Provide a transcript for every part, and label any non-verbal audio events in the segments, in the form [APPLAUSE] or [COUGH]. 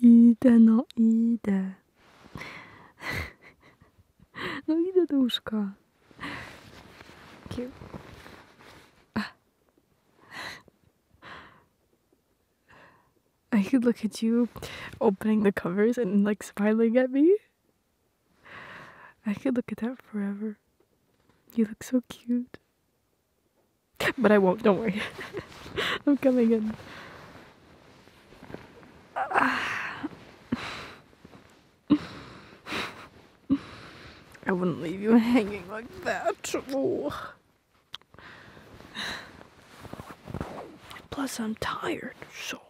Idę, no idę. [LAUGHS] No idę do I could look at you opening the covers and like smiling at me. I could look at that forever. You look so cute. But I won't, don't worry. [LAUGHS] I'm coming in. [SIGHS] I wouldn't leave you hanging like that. Plus, I'm tired, so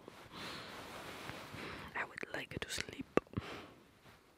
I would like to sleep.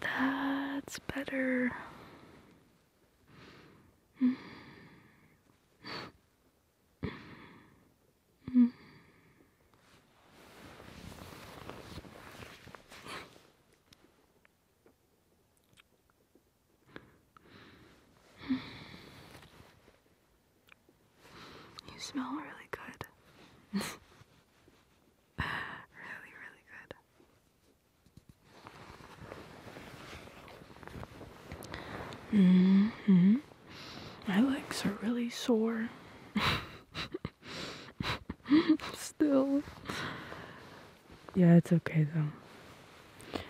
That's better. You smell really good. [LAUGHS] really, really good. hmm. My legs are really sore. [LAUGHS] Still. Yeah, it's okay though.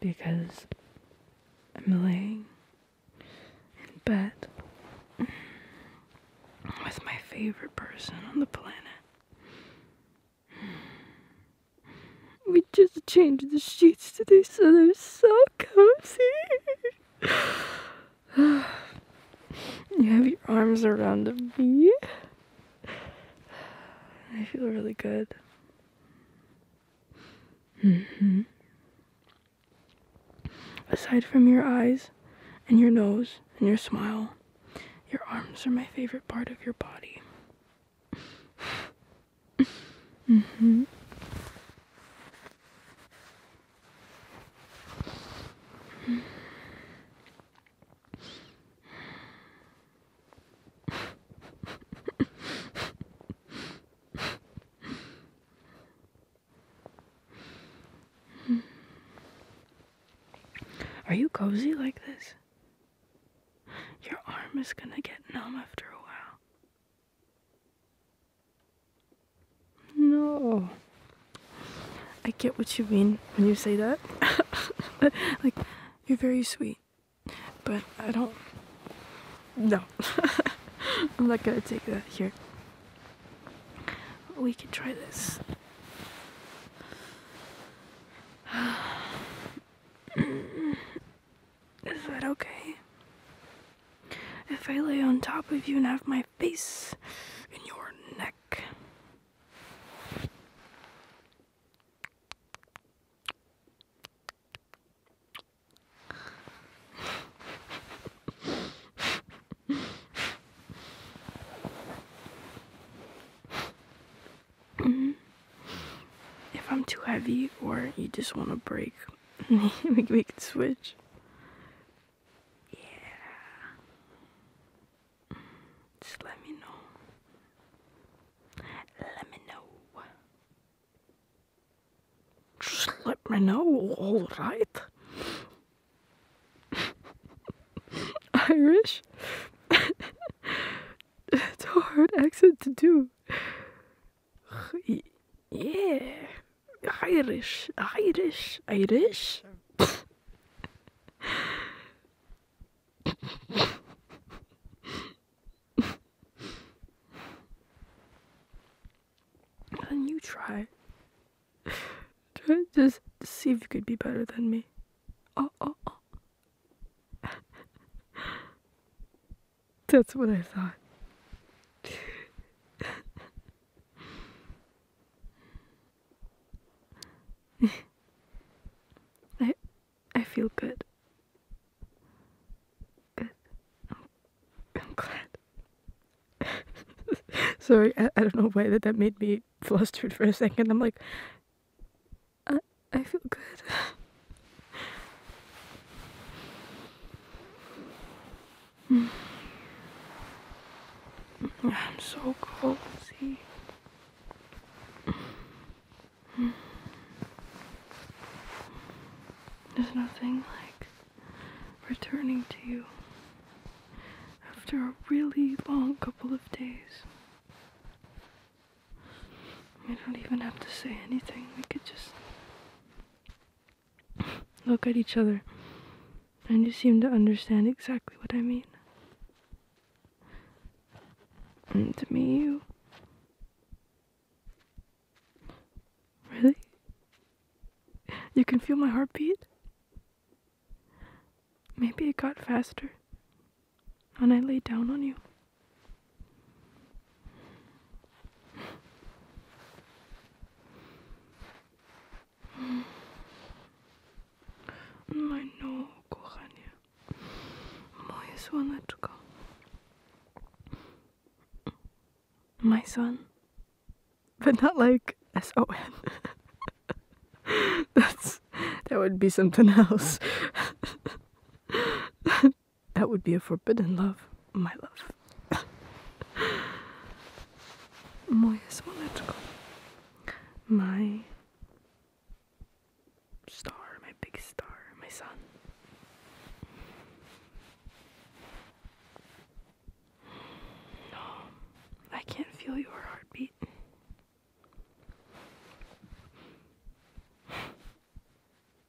Because I'm laying in bed with my favorite person on the planet. We just changed the sheets today, so they're so cozy. [SIGHS] you have your arms around me. I feel really good. Mm-hmm. Aside from your eyes and your nose, and your smile. Your arms are my favorite part of your body. mhm. Are you cozy like this? Your arm is gonna get numb after a while. No. I get what you mean when you say that. [LAUGHS] like, you're very sweet, but I don't. No. [LAUGHS] I'm not gonna take that here. We can try this. [SIGHS] Is that okay? If I lay on top of you and have my face in your neck. Mm-hmm. if I'm too heavy or you just want to break, [LAUGHS] we can switch. Yeah. Just let me know. Let me know. Just let me know, alright? [LAUGHS] Irish? it's [LAUGHS] a hard accent to do. Yeah. Irish. Irish. Irish? [LAUGHS] And you try. try just to see if you could be better than me. Oh, oh, oh. That's what I thought. [LAUGHS] I I feel good. Good. I'm glad. [LAUGHS] Sorry, I, don't know why that, that made me flustered for a second. I'm like, I, I feel good. [SIGHS] I'm so cozy. There's nothing like returning to you after a really long couple of days. We don't even have to say anything. We could just look at each other. And you seem to understand exactly what I mean. to me, you Really? You can feel my heartbeat? Maybe it got faster when I lay down on you. Moje kochanie, moje słoneczko my son. But not like S O N. [LAUGHS] That's that would be something else. [LAUGHS] that would be a forbidden love, my love. [LAUGHS] Moje słoneczko. My star, my big star, my son. I can't feel your heartbeat.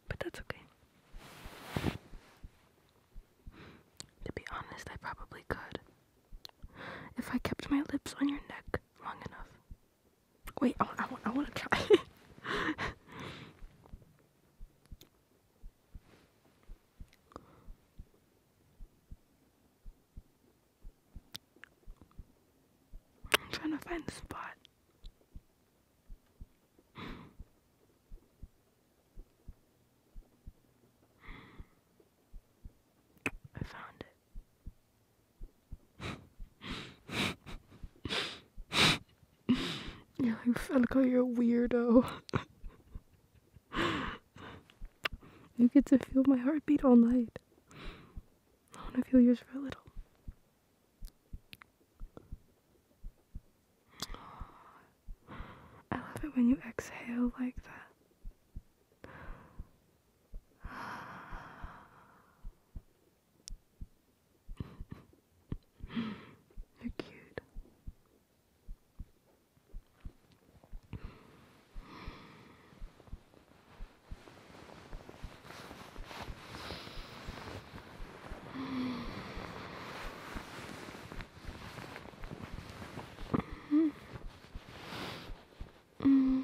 But that's okay. To be honest, I probably could. If I kept my lips on your neck long enough. Wait, I, I, I want to try. [LAUGHS] I'm trying to find the spot. I found it. [LAUGHS] You're like, Falco, you're a weirdo. you get to feel my heartbeat all night. I want to feel yours for a little. I love it when you exhale like that. You're cute. Mm -hmm. Mm -hmm.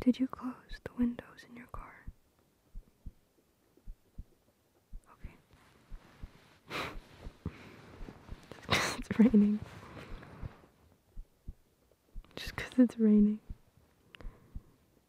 Did you close the windows in your car? Okay. [LAUGHS] it's raining. Just because it's raining.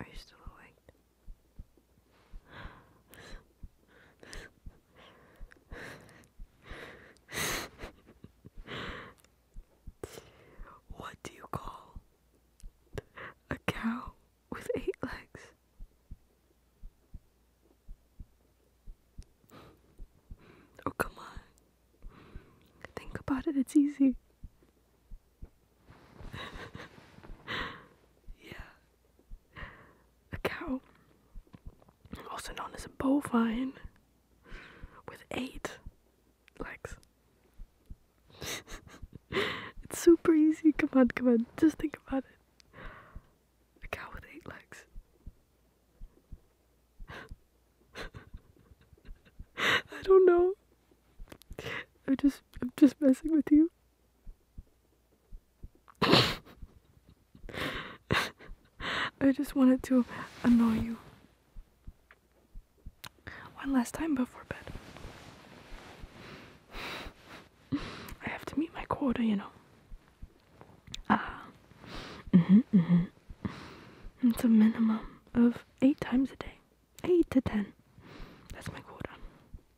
Are you still awake? what do you call a cow with eight legs? Oh, come on. Think about it, it's easy. [LAUGHS] yeah. A cow, also known as a bovine, with eight legs. [LAUGHS] it's super easy. Come on, come on. Just think about it. A cow with eight legs. [LAUGHS] I don't know. I'm just I'm just messing with you. [LAUGHS] I just wanted to annoy you one last time before bed. [SIGHS] I have to meet my quota, you know. Ah. Mhm, mm mhm. it's a minimum of 8 times a day. 8 to 10. That's my quota.